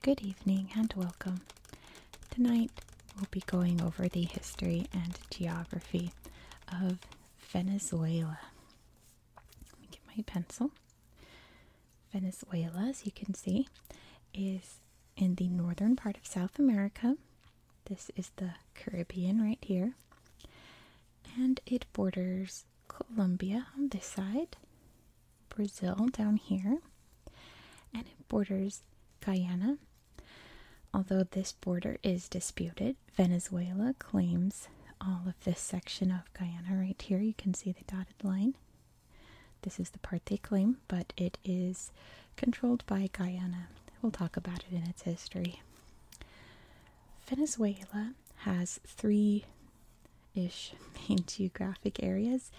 Good evening and welcome. Tonight we'll be going over the history and geography of Venezuela. Let me get my pencil. Venezuela, as you can see, is in the northern part of South America. This is the Caribbean right here. And it borders Colombia on this side, Brazil down here, and it borders Guyana. Although this border is disputed, Venezuela claims all of this section of Guyana right here. You can see the dotted line this is the part they claim, but it is controlled by Guyana. We'll talk about it in its history. Venezuela has three ish main geographic areas.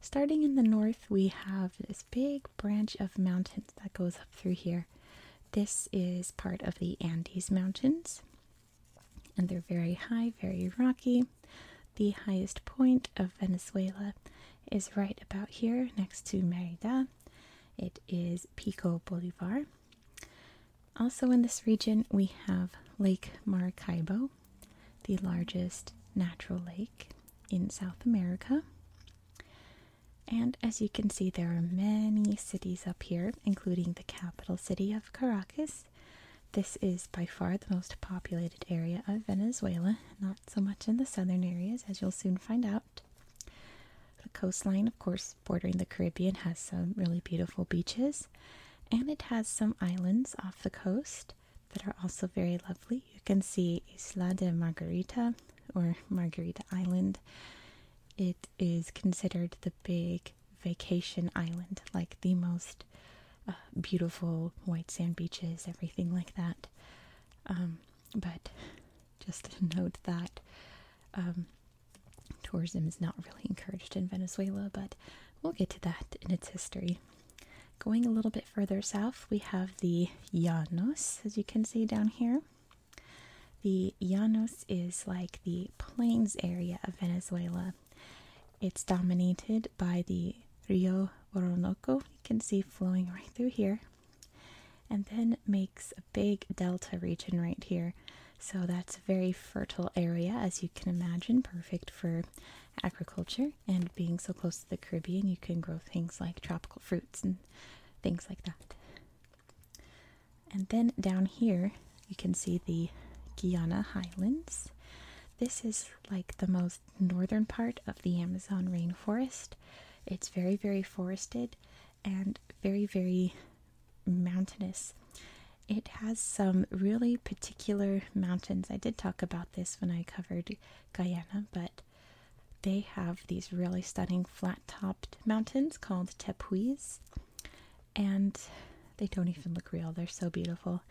Starting in the north, we have this big branch of mountains that goes up through here. This is part of the Andes Mountains, and they're very high, very rocky. The highest point of Venezuela is right about here next to Merida. It is Pico Bolivar. Also, in this region, we have Lake Maracaibo, the largest natural lake in South America. And as you can see, there are many cities up here, including the capital city of Caracas, this is by far the most populated area of Venezuela, not so much in the southern areas, as you'll soon find out. The coastline, of course, bordering the Caribbean, has some really beautiful beaches, and it has some islands off the coast that are also very lovely. You can see Isla de Margarita or Margarita Island. It is considered the big vacation island, like the most beautiful white sand beaches, everything like that. Um, but just to note that um, tourism is not really encouraged in Venezuela, but we'll get to that in its history. Going a little bit further south, we have the Llanos, as you can see down here. The Llanos is like the plains area of Venezuela, it's dominated by the Rio Orinoco, you can see flowing right through here, and then makes a big delta region right here. So that's a very fertile area, as you can imagine, perfect for agriculture. And being so close to the Caribbean, you can grow things like tropical fruits and things like that. And then down here, you can see the Guiana Highlands. This is like the most northern part of the Amazon rainforest. It's very, very forested and very, very mountainous. It has some really particular mountains. I did talk about this when I covered Guyana, but they have these really stunning flat topped mountains called tepuis. And they don't even look real, they're so beautiful.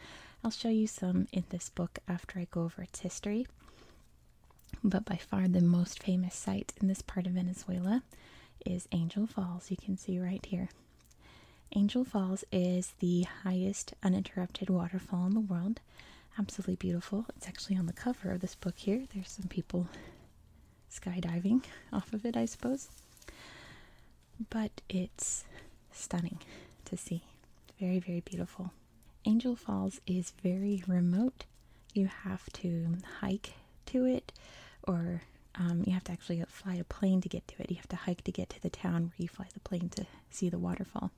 I'll show you some in this book after I go over its history. But by far the most famous site in this part of Venezuela is Angel Falls, you can see right here. Angel Falls is the highest uninterrupted waterfall in the world. Absolutely beautiful. It's actually on the cover of this book here. There's some people skydiving off of it, I suppose but it's stunning to see. very, very beautiful. Angel Falls is very remote. You have to hike to it, or um, you have to actually fly a plane to get to it. You have to hike to get to the town where you fly the plane to see the waterfall.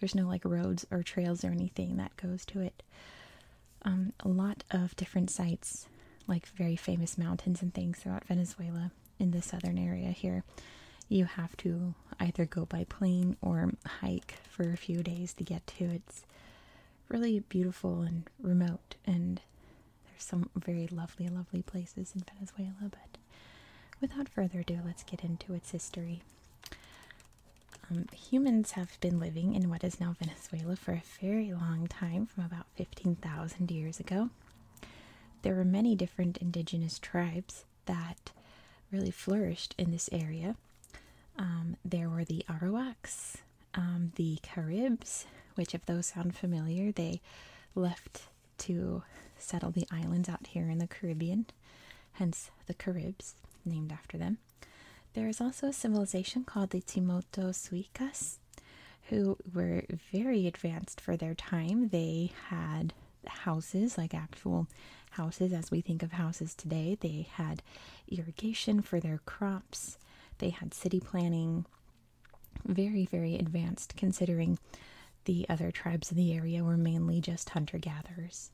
There's no like roads or trails or anything that goes to it. Um, a lot of different sites, like very famous mountains and things throughout Venezuela in the southern area here, you have to either go by plane or hike for a few days to get to. It's really beautiful and remote, and there's some very lovely, lovely places in Venezuela. But without further ado, let's get into its history. Um, humans have been living in what is now Venezuela for a very long time, from about 15,000 years ago. There were many different indigenous tribes that really flourished in this area. Um, there were the Arawaks, um, the Caribs, which, if those sound familiar, they left to settle the islands out here in the Caribbean, hence the Caribs, named after them. There is also a civilization called the Timoto Suicas, who were very advanced for their time. They had houses, like actual houses as we think of houses today. They had irrigation for their crops, they had city planning. Very, very advanced considering the other tribes in the area were mainly just hunter gatherers.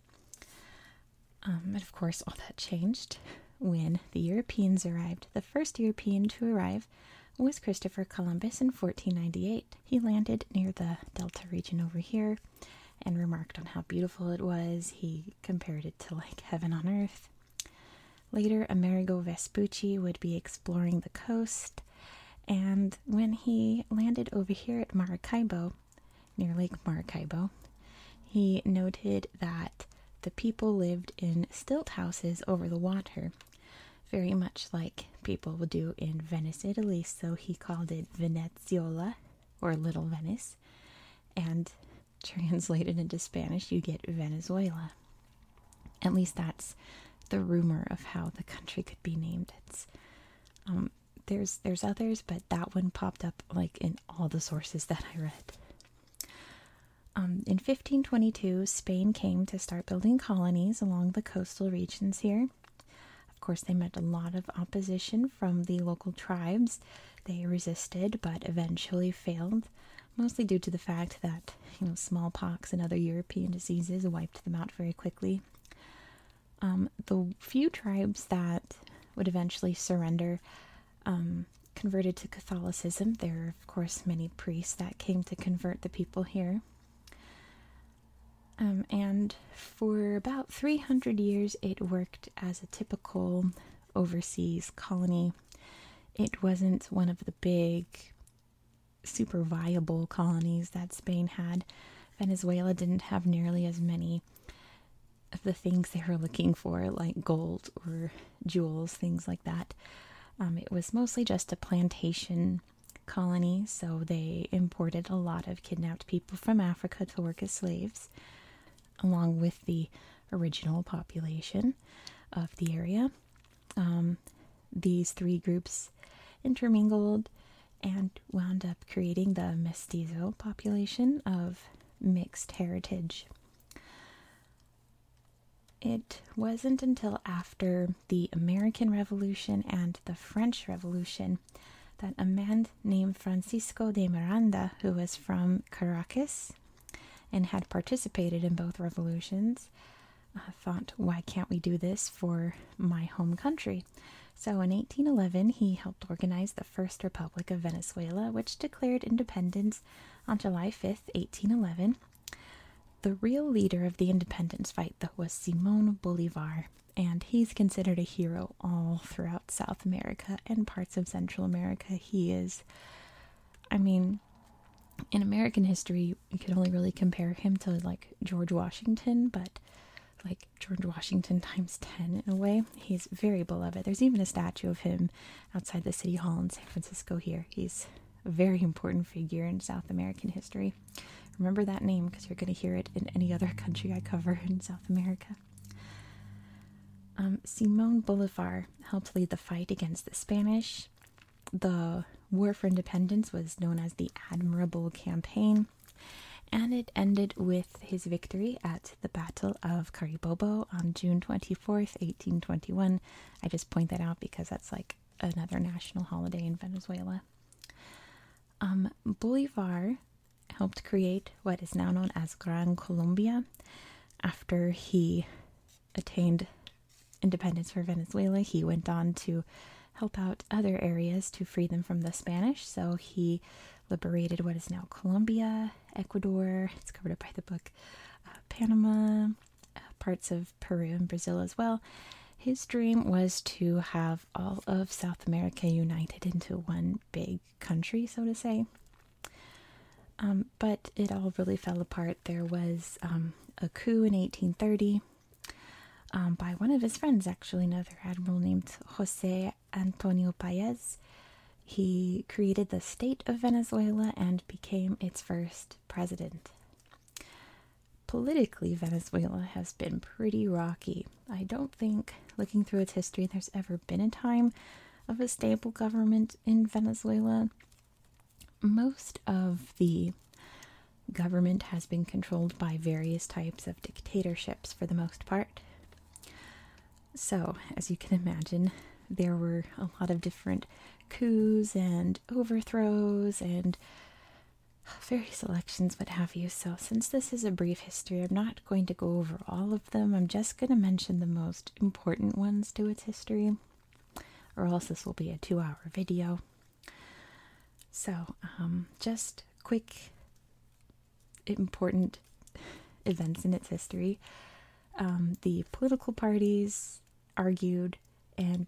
and um, of course, all that changed when the Europeans arrived. The first European to arrive was Christopher Columbus in 1498. He landed near the Delta region over here and remarked on how beautiful it was. He compared it to like heaven on earth. Later, Amerigo Vespucci would be exploring the coast, and when he landed over here at Maracaibo, near Lake Maracaibo, he noted that the people lived in stilt houses over the water very much like people will do in Venice, Italy. So he called it Veneziola or Little Venice, and translated into Spanish, you get Venezuela. At least that's the rumor of how the country could be named. It's um, there's there's others, but that one popped up like in all the sources that I read. Um, in 1522, Spain came to start building colonies along the coastal regions here. Of course, they met a lot of opposition from the local tribes. They resisted but eventually failed, mostly due to the fact that, you know, smallpox and other European diseases wiped them out very quickly. Um, the few tribes that would eventually surrender um, converted to Catholicism. There are, of course, many priests that came to convert the people here. Um, and for about 300 years, it worked as a typical overseas colony. It wasn't one of the big, super viable colonies that Spain had. Venezuela didn't have nearly as many of the things they were looking for, like gold or jewels, things like that. Um, it was mostly just a plantation colony, so they imported a lot of kidnapped people from Africa to work as slaves, along with the original population of the area. Um, these three groups intermingled and wound up creating the mestizo population of mixed heritage. It wasn't until after the American Revolution and the French Revolution that a man named Francisco de Miranda, who was from Caracas and had participated in both revolutions, uh, thought, why can't we do this for my home country? So in 1811, he helped organize the First Republic of Venezuela, which declared independence on July 5th, 1811. The real leader of the independence fight, though, was Simon Bolivar, and he's considered a hero all throughout South America and parts of Central America. He is, I mean, in American history, you can only really compare him to like George Washington, but like George Washington times 10 in a way. He's very beloved. There's even a statue of him outside the city hall in San Francisco here. He's a very important figure in South American history. Remember that name because you're going to hear it in any other country I cover in South America. Um, Simon Bolivar helped lead the fight against the Spanish. The War for Independence was known as the Admirable Campaign, and it ended with his victory at the Battle of Caribobo on June 24th, 1821. I just point that out because that's like another national holiday in Venezuela. Um, Bolivar helped create what is now known as Gran Colombia after he attained independence for Venezuela. He went on to help out other areas to free them from the Spanish, so he liberated what is now Colombia, Ecuador, it's covered up by the book, uh, Panama, parts of Peru and Brazil as well. His dream was to have all of South America united into one big country, so to say. Um, but it all really fell apart. There was um, a coup in 1830 um, by one of his friends, actually, another admiral named Jose Antonio Paez. He created the state of Venezuela and became its first president. Politically, Venezuela has been pretty rocky. I don't think, looking through its history, there's ever been a time of a stable government in Venezuela. Most of the government has been controlled by various types of dictatorships for the most part. So, as you can imagine, there were a lot of different coups and overthrows and various elections, what have you. So, since this is a brief history, I'm not going to go over all of them. I'm just going to mention the most important ones to its history, or else this will be a two hour video. So, um, just quick important events in its history. Um, the political parties argued and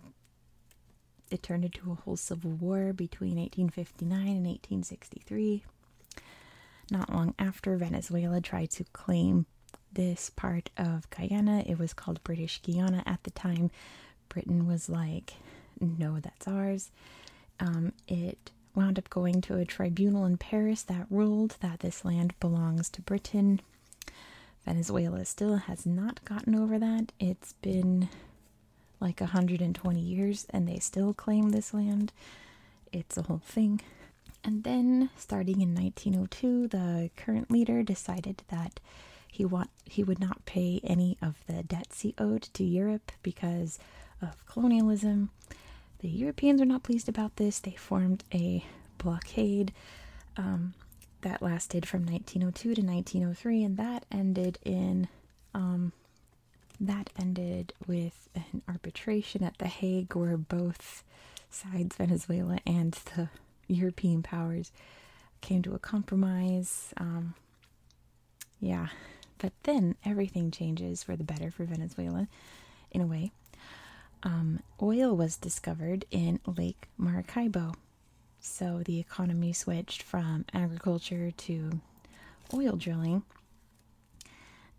it turned into a whole civil war between 1859 and 1863. Not long after, Venezuela tried to claim this part of Guyana. It was called British Guiana at the time. Britain was like, no, that's ours. Um, it wound up going to a tribunal in Paris that ruled that this land belongs to Britain. Venezuela still has not gotten over that. It's been like 120 years and they still claim this land. It's a whole thing. And then, starting in 1902, the current leader decided that he would not pay any of the debts he owed to Europe because of colonialism. The Europeans were not pleased about this. They formed a blockade. Um, that lasted from 1902 to 1903, and that ended in um, that ended with an arbitration at The Hague, where both sides, Venezuela and the European powers, came to a compromise. Um, yeah, but then everything changes for the better for Venezuela, in a way. Um, oil was discovered in Lake Maracaibo so the economy switched from agriculture to oil drilling,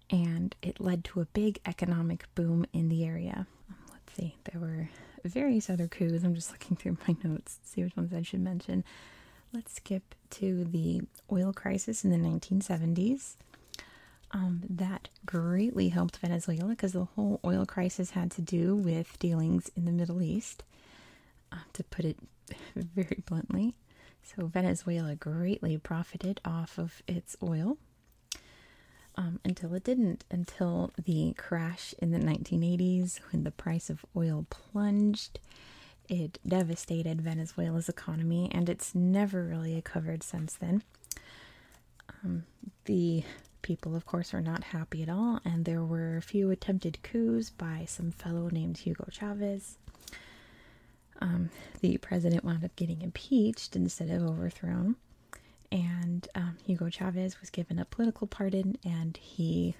and it led to a big economic boom in the area. Um, let's see, there were various other coups. I'm just looking through my notes to see which ones I should mention. Let's skip to the oil crisis in the 1970s. Um, that greatly helped Venezuela because the whole oil crisis had to do with dealings in the Middle East. Uh, to put it very bluntly. So, Venezuela greatly profited off of its oil um, until it didn't, until the crash in the 1980s when the price of oil plunged. It devastated Venezuela's economy and it's never really recovered since then. Um, the people, of course, were not happy at all, and there were a few attempted coups by some fellow named Hugo Chavez. Um, the president wound up getting impeached instead of overthrown, and um, Hugo Chavez was given a political pardon, and he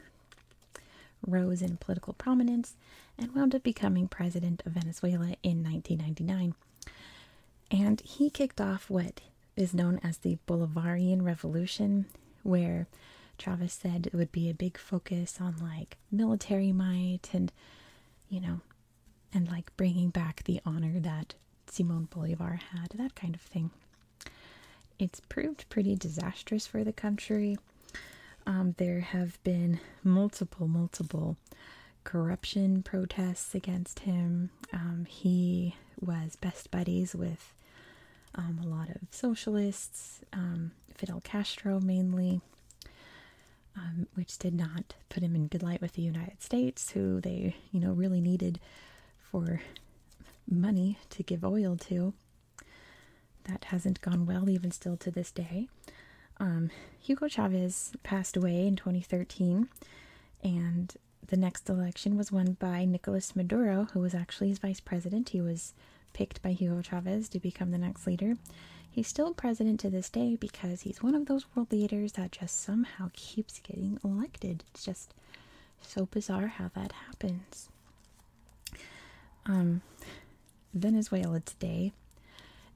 rose in political prominence and wound up becoming president of Venezuela in 1999. And he kicked off what is known as the Bolivarian Revolution, where Travis said it would be a big focus on like military might and, you know, and like bringing back the honor that Simon Bolivar had, that kind of thing. It's proved pretty disastrous for the country. Um, there have been multiple, multiple corruption protests against him. Um, he was best buddies with um, a lot of socialists, um, Fidel Castro mainly, um, which did not put him in good light with the United States, who they, you know, really needed for money to give oil to. That hasn't gone well, even still to this day. Hugo Chavez passed away in 2013, and the next election was won by Nicolas Maduro, who was actually his vice president. He was picked by Hugo Chavez to become the next leader. He's still president to this day because he's one of those world leaders that just somehow keeps getting elected. It's just so bizarre how that happens. Um, Venezuela today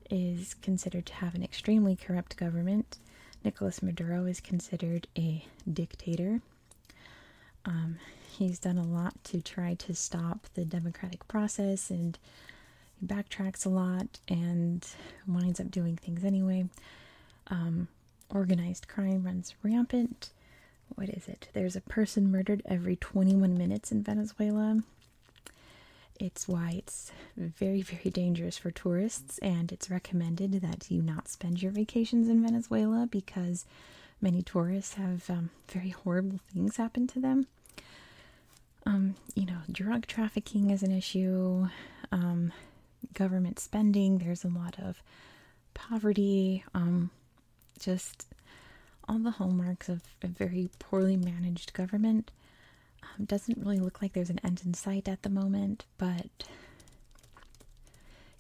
is considered to have an extremely corrupt government. Nicolas Maduro is considered a dictator. Um, he's done a lot to try to stop the democratic process and he backtracks a lot and winds up doing things anyway. Um, organized crime runs rampant. What is it? There's a person murdered every 21 minutes in Venezuela. It's why it's very, very dangerous for tourists, and it's recommended that you not spend your vacations in Venezuela because many tourists have um, very horrible things happen to them. Um, you know, drug trafficking is an issue, um, government spending, there's a lot of poverty, just all the hallmarks of a very poorly managed government. doesn't really look like there's an end in sight at the moment but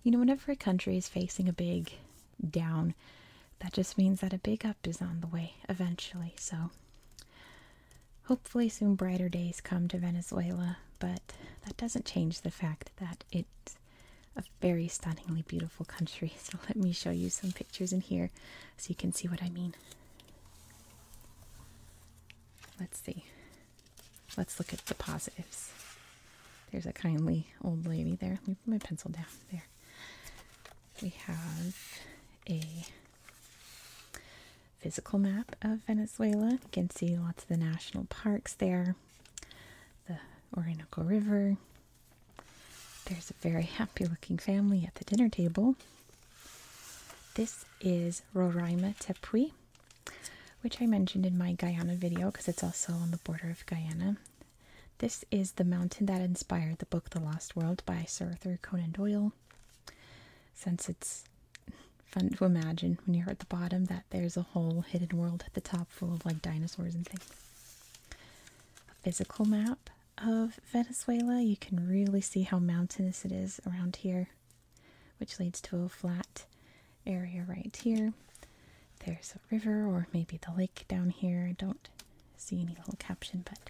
you know, whenever a country is facing a big down, that just means that a big up is on the way eventually. So, hopefully, soon brighter days come to Venezuela, but that doesn't change the fact that it's a very stunningly beautiful country. So, let me show you some pictures in here so you can see what I mean. Let's see let's look at the positives. There's a kindly old lady there. Let me put my pencil down there. We have a physical map of Venezuela. You can see lots of the national parks there, the Orinoco River. There's a very happy looking family at the dinner table. This is Roraima Tepui which I mentioned in my Guyana video because it's also on the border of Guyana. This is the mountain that inspired the book The Lost World by Sir Arthur Conan Doyle. Since it's fun to imagine when you're at the bottom that there's a whole hidden world at the top full of like dinosaurs and things. A physical map of Venezuela, you can really see how mountainous it is around here which leads to a flat area right here. There's a river or maybe the lake down here. I don't see any little caption, but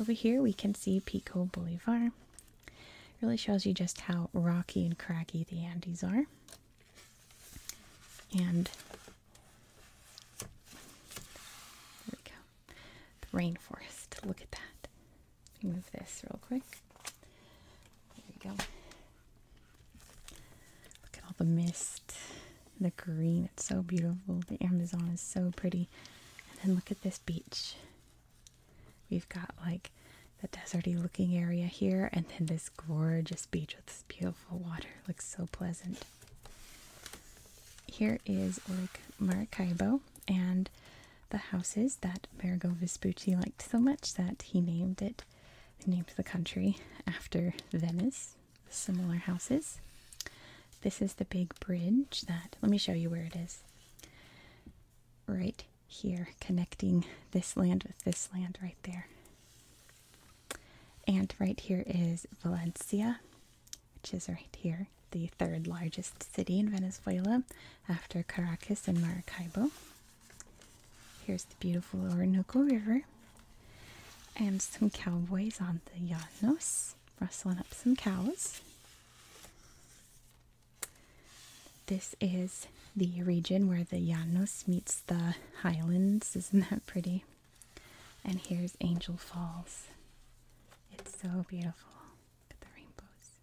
over here we can see Pico Bolivar. really shows you just how rocky and craggy the Andes are. And there we go. The rainforest. Look at that. Move this real quick. There we go. Look at all the mist, the green, it's so beautiful. The Amazon is so pretty. And then look at this beach. We've got like the deserty looking area here, and then this gorgeous beach with this beautiful water. Looks so pleasant. Here is like Maracaibo and the houses that Amerigo Vespucci liked so much that he named it named the country after Venice, similar houses. This is the big bridge that, let me show you where it is. Right here, connecting this land with this land right there. And right here is Valencia, which is right here, the third largest city in Venezuela after Caracas and Maracaibo. Here's the beautiful Orinoco River and some cowboys on the Llanos rustling up some cows. This is the region where the Llanos meets the highlands. Isn't that pretty? And here's Angel Falls. It's so beautiful. Look at the rainbows.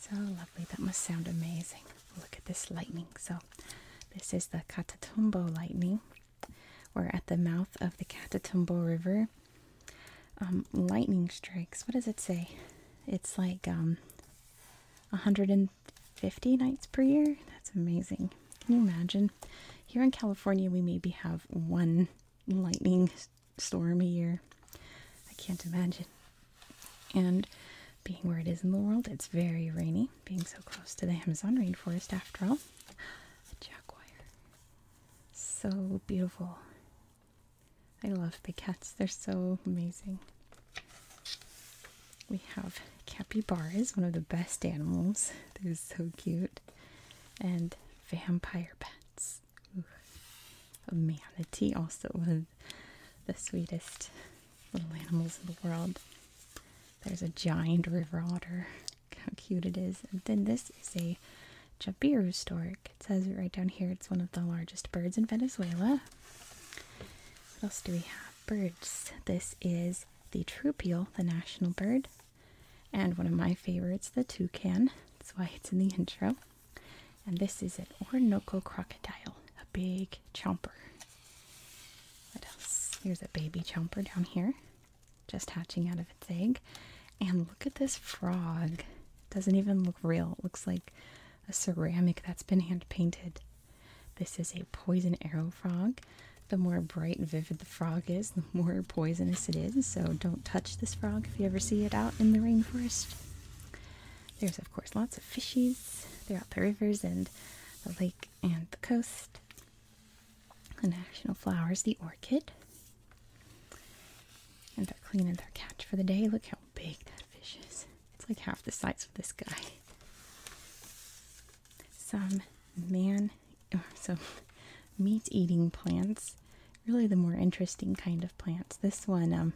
So lovely. That must sound amazing. Look at this lightning. So, this is the Catatumbo lightning. We're at the mouth of the Catatumbo River. Um, lightning strikes. What does it say? It's like 150 um, nights per year. That's amazing. Can you imagine? Here in California, we maybe have one lightning storm a year. I can't imagine. And being where it is in the world, it's very rainy, being so close to the Amazon rainforest after all. jaguar. So beautiful. I love big cats, they're so amazing. We have capybaras, one of the best animals. They're so cute. And vampire bats manatee, also one of the sweetest little animals in the world. There's a giant river otter. how cute it is. And then this is a Jabiru stork. It says right down here it's one of the largest birds in Venezuela. What else do we have? Birds. This is the troupial, the national bird, and one of my favorites, the toucan. That's why it's in the intro. And this is an Orinoco crocodile, a big chomper. What else? Here's a baby chomper down here, just hatching out of its egg. And look at this frog. It doesn't even look real. It looks like a ceramic that's been hand painted. This is a poison arrow frog. The more bright and vivid the frog is, the more poisonous it is. So don't touch this frog if you ever see it out in the rainforest. There's, of course, lots of fishies throughout the rivers and the lake and the coast. The national flower is the orchid. And they're cleaning their catch for the day. Look how big that fish is. It's like half the size of this guy. Some man, some meat eating plants. Really, the more interesting kind of plants. This one, um,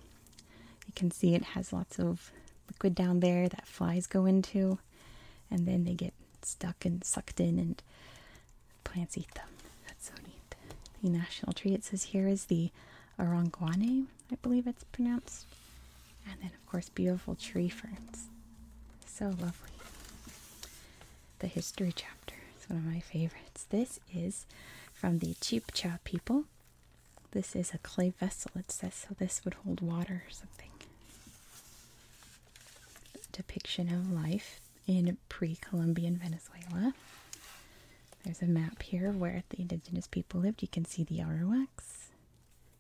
you can see it has lots of liquid down there that flies go into, and then they get stuck and sucked in, and plants eat them. That's so neat. The national tree it says here is the Aranguane, I believe it's pronounced. And then, of course, beautiful tree ferns. So lovely. The history chapter It's one of my favorites. This is from the Chibcha people this is a clay vessel, it says, so this would hold water or something. Depiction of life in pre Columbian Venezuela. There's a map here of where the indigenous people lived. You can see the Arawaks,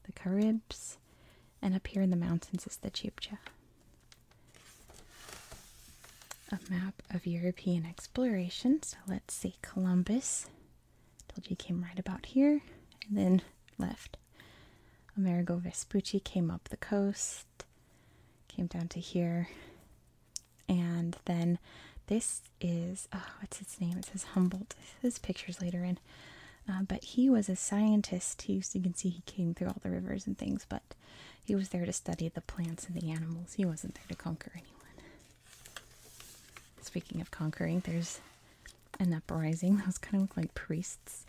the Caribs, and up here in the mountains is the Chibcha. A map of European exploration. So let's see Columbus Doji came right about here and then left. Amerigo Vespucci came up the coast, came down to here, and then this is oh, what's its name? It says Humboldt. This picture's later in, uh, but he was a scientist. He, you can see he came through all the rivers and things, but he was there to study the plants and the animals. He wasn't there to conquer anyone. Speaking of conquering, there's an uprising. Those kind of look like priests.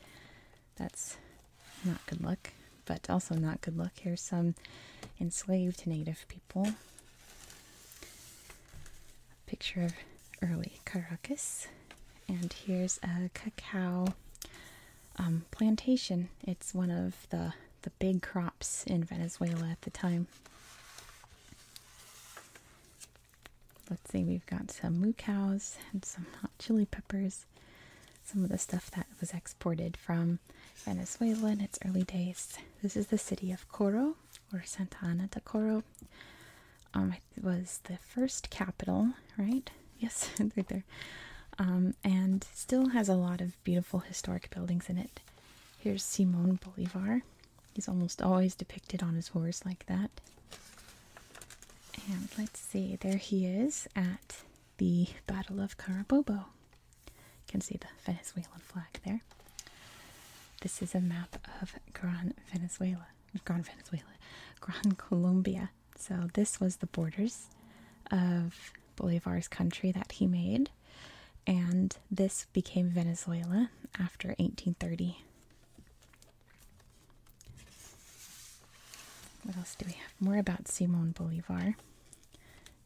That's not good luck, but also not good luck. Here's some enslaved native people. picture of early Caracas. And here's a cacao um, plantation. It's one of the the big crops in Venezuela at the time. Let's see, we've got some moo cows and some hot chili peppers. Some of the stuff that was exported from Venezuela in its early days. This is the city of Coro, or Santa Ana de Coro. Um, it was the first capital, right? Yes, right there. Um, and still has a lot of beautiful historic buildings in it. Here's Simon Bolivar. He's almost always depicted on his horse like that. And let's see, there he is at the Battle of Carabobo. You can see the Venezuelan flag there. This is a map of Gran Venezuela, Gran Venezuela, Gran Colombia. So this was the borders of Bolivar's country that he made. And this became Venezuela after 1830. What else do we have? More about Simon Bolivar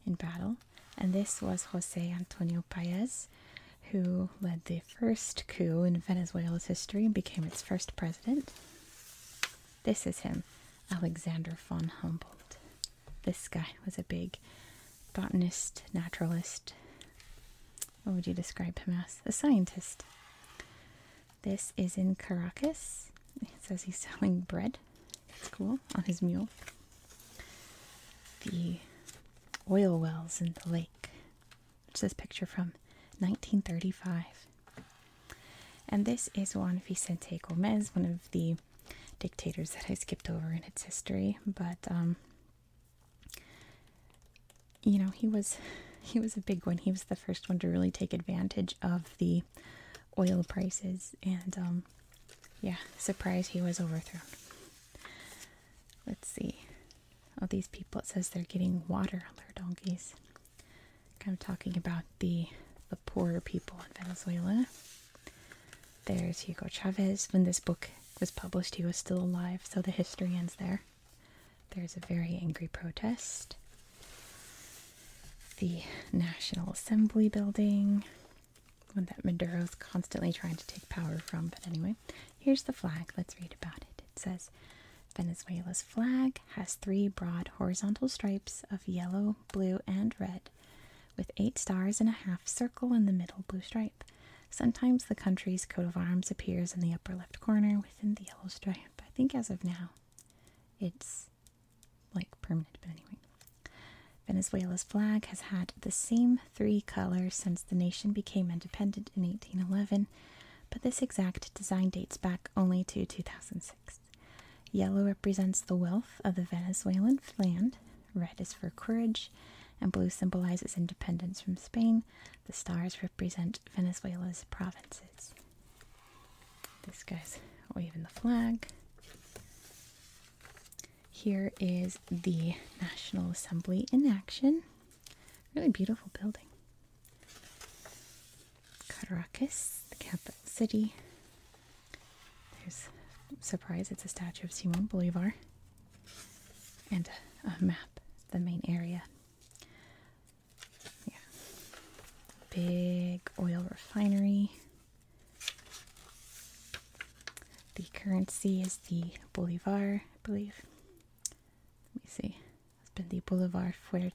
in battle. And this was Jose Antonio Paez, who led the first coup in Venezuela's history and became its first president. This is him, Alexander von Humboldt. This guy was a big botanist, naturalist. What would you describe him as? A scientist. This is in Caracas. It says he's selling bread. It's cool. On his mule. The oil wells in the lake. Which this picture from 1935. And this is Juan Vicente Gomez, one of the dictators that I skipped over in its history, but um, you know he was he was a big one. He was the first one to really take advantage of the oil prices, and um, yeah, surprise, he was overthrown. Let's see. All these people, it says they're getting water on their donkeys. Kind of talking about the the poorer people in Venezuela. There's Hugo Chavez. When this book was published, he was still alive, so the history ends there. There's a very angry protest. The National Assembly building, one that Maduro is constantly trying to take power from. But anyway, here's the flag. Let's read about it. It says Venezuela's flag has three broad horizontal stripes of yellow, blue, and red with eight stars and a half circle in the middle blue stripe. Sometimes the country's coat of arms appears in the upper left corner within the yellow stripe. I think as of now, it's like permanent, but anyway. Venezuela's flag has had the same three colors since the nation became independent in 1811, but this exact design dates back only to 2006. Yellow represents the wealth of the Venezuelan land, Red is for courage, and blue symbolizes independence from Spain. The stars represent Venezuela's provinces. This guy's waving the flag. Here is the National Assembly in action. Really beautiful building. Caracas, the capital city. There's surprise, it's a statue of Simon Bolivar and a map, the main area. Yeah. Big oil refinery. The currency is the Bolivar, I believe. Let me see. It's been the Bolivar Fuerte.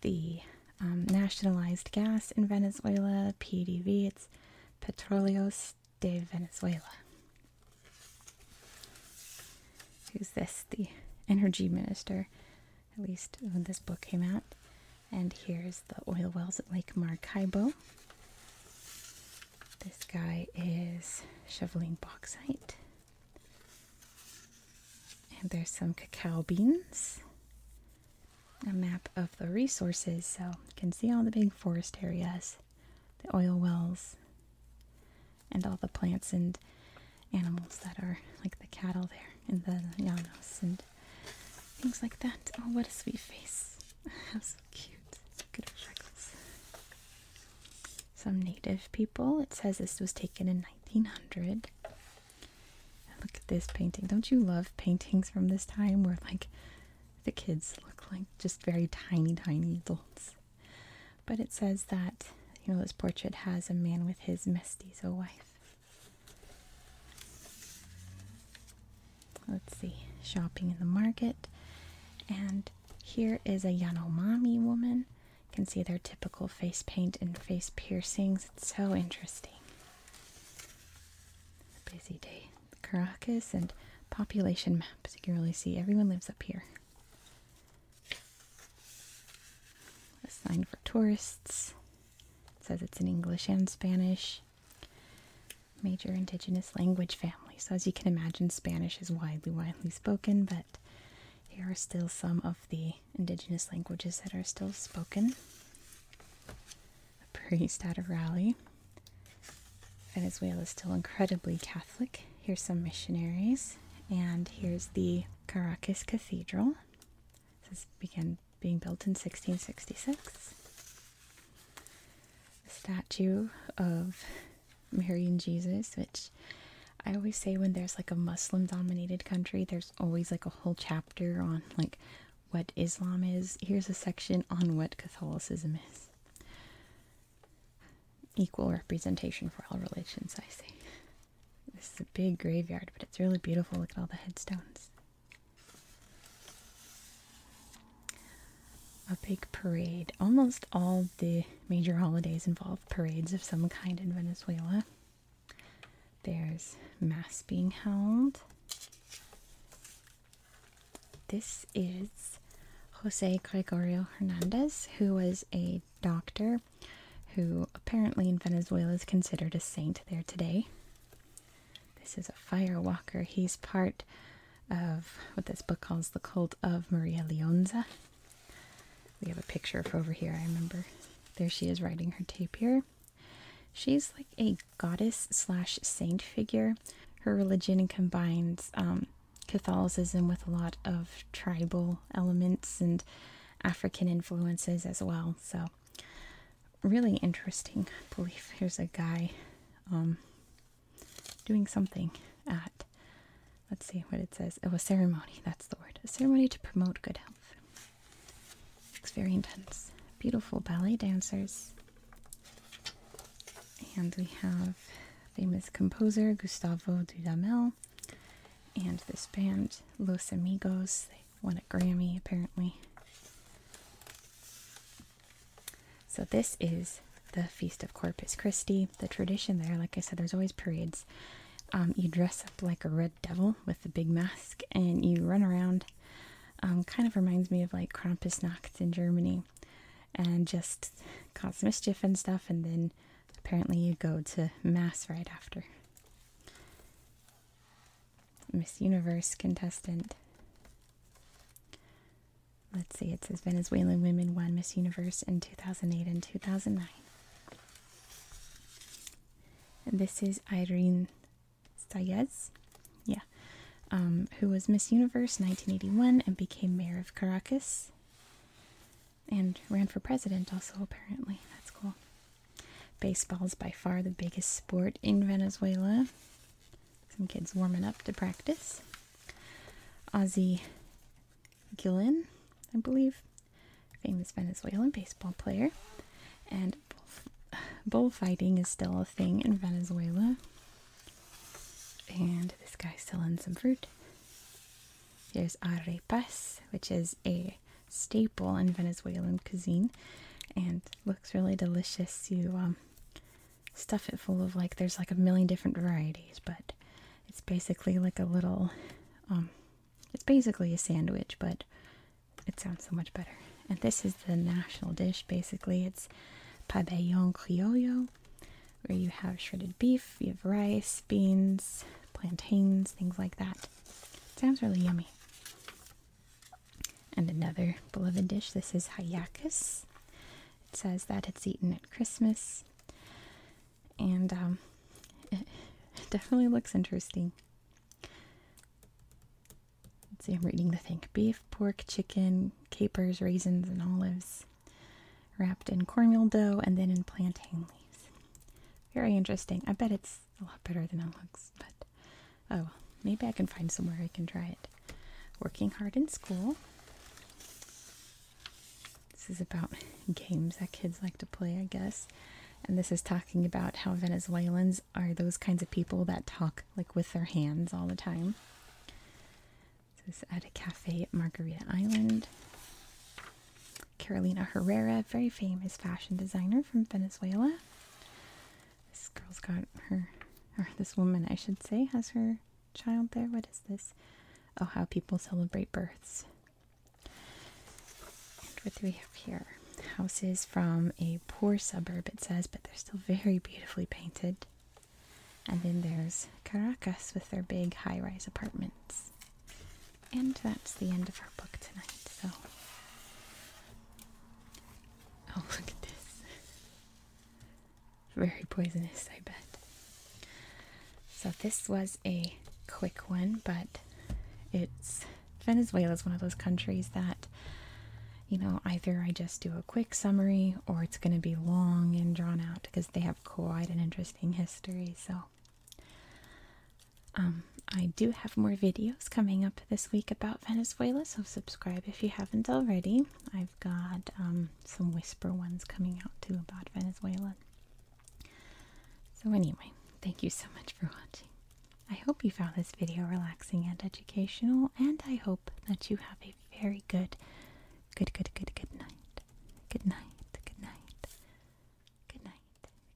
The um, nationalized gas in Venezuela, PDV, It's. Petroleos de Venezuela. Who's this? The energy minister, at least when this book came out. And here's the oil wells at Lake Maracaibo. This guy is shoveling bauxite. And there's some cacao beans a map of the resources so you can see all the big forest areas, the oil wells, and all the plants and animals that are like the cattle there and the llanos and things like that. Oh, what a sweet face! How so cute. Good freckles. Some native people. It says this was taken in 1900. Look at this painting. Don't you love paintings from this time where, like, the kids look like just very tiny, tiny adults. But it says that, you know, this portrait has a man with his mestizo wife. Let's see, shopping in the market. And here is a Yanomami woman. You can see their typical face paint and face piercings. It's so interesting. It's a busy day. Caracas and population maps. You can really see everyone lives up here. A sign for tourists. It says it's in English and Spanish. Major indigenous language family. So as you can imagine, Spanish is widely, widely spoken, but here are still some of the indigenous languages that are still spoken a priest at a rally. Venezuela is still incredibly Catholic. Here's some missionaries, and here's the Caracas Cathedral. This began being built in 1666. The statue of Mary and Jesus, which I always say when there's like a Muslim dominated country, there's always like a whole chapter on like what Islam is. Here's a section on what Catholicism is. Equal representation for all religions, I see. This is a big graveyard, but it's really beautiful. Look at all the headstones. A big parade. Almost all the major holidays involve parades of some kind in Venezuela. There's mass being held. This is Jose Gregorio Hernandez, who was a doctor who apparently in Venezuela is considered a saint there today. This is a fire walker. He's part of what this book calls the cult of Maria Leonza. We have a picture of over here, I remember. There she is writing her tapir. She's like a goddess slash saint figure. Her religion combines um, Catholicism with a lot of tribal elements and African influences as well. So, really interesting I believe. there's a guy um, doing something at, let's see what it says. Oh, a ceremony. That's the word. A ceremony to promote good health. Looks very intense. Beautiful ballet dancers. And we have famous composer Gustavo Dudamel and this band, Los Amigos. They won a Grammy apparently. So, this is the Feast of Corpus Christi. The tradition there, like I said, there's always parades. Um, you dress up like a red devil with a big mask and you run around um, kind of reminds me of like Krampusnacht in Germany and just cause mischief and stuff, and then apparently you go to Mass right after. Miss Universe contestant. Let's see, it says Venezuelan women won Miss Universe in 2008 and 2009. And this is Irene Stayez, yeah, um, who was Miss Universe 1981 and became mayor of Caracas and ran for president also apparently. That's cool. Baseball is by far the biggest sport in Venezuela. Some kids warming up to practice. Ozzy Gillen, I believe, famous Venezuelan baseball player, and bullfighting is still a thing in Venezuela. And this guy's selling some fruit. There's arepas, which is a staple in Venezuelan cuisine, and looks really delicious. You um, stuff it full of like there's like a million different varieties, but it's basically like a little, um, it's basically a sandwich, but it sounds so much better. And this is the national dish basically. It's pabellon criollo, where you have shredded beef, you have rice, beans, plantains, things like that. It sounds really yummy. And another beloved dish, this is hayakus. It says that it's eaten at Christmas. And um, it definitely looks interesting. Let's see, I'm reading the thing beef, pork, chicken, capers, raisins, and olives wrapped in cornmeal dough and then in plantain leaves. Very interesting. I bet it's a lot better than it looks, but oh, maybe I can find somewhere I can try it. Working hard in school. This is about games that kids like to play, I guess. And this is talking about how Venezuelans are those kinds of people that talk like with their hands all the time. This is at a cafe at Margarita Island. Carolina Herrera, very famous fashion designer from Venezuela. This girl's got her, or this woman, I should say, has her child there. What is this? Oh, how people celebrate births. what do we have here? houses from a poor suburb, it says, but they're still very beautifully painted. And then there's Caracas with their big high rise apartments. And that's the end of our book tonight. So, oh, look at this. Very poisonous, I bet. So, this was a quick one, but it's Venezuela is one of those countries that you know, either I just do a quick summary or it's going to be long and drawn out because they have quite an interesting history. So, um, I do have more videos coming up this week about Venezuela, so subscribe if you haven't already. I've got um, some whisper ones coming out too about Venezuela. So, anyway, thank you so much for watching. I hope you found this video relaxing and educational, and I hope that you have a very good, good, good, good, good night. Good night, good night, good night,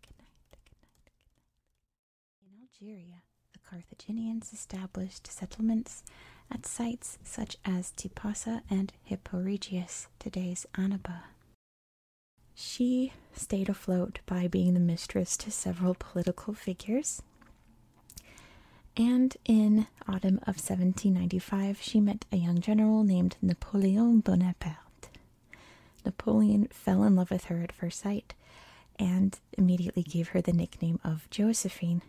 good night, good night, In Algeria, the Carthaginians established settlements at sites such as Tipasa and Hippo Regius, today's Annaba. She stayed afloat by being the mistress to several political figures, and in autumn of 1795, she met a young general named Napoleon Bonaparte. Napoleon fell in love with her at first sight and immediately gave her the nickname of Josephine.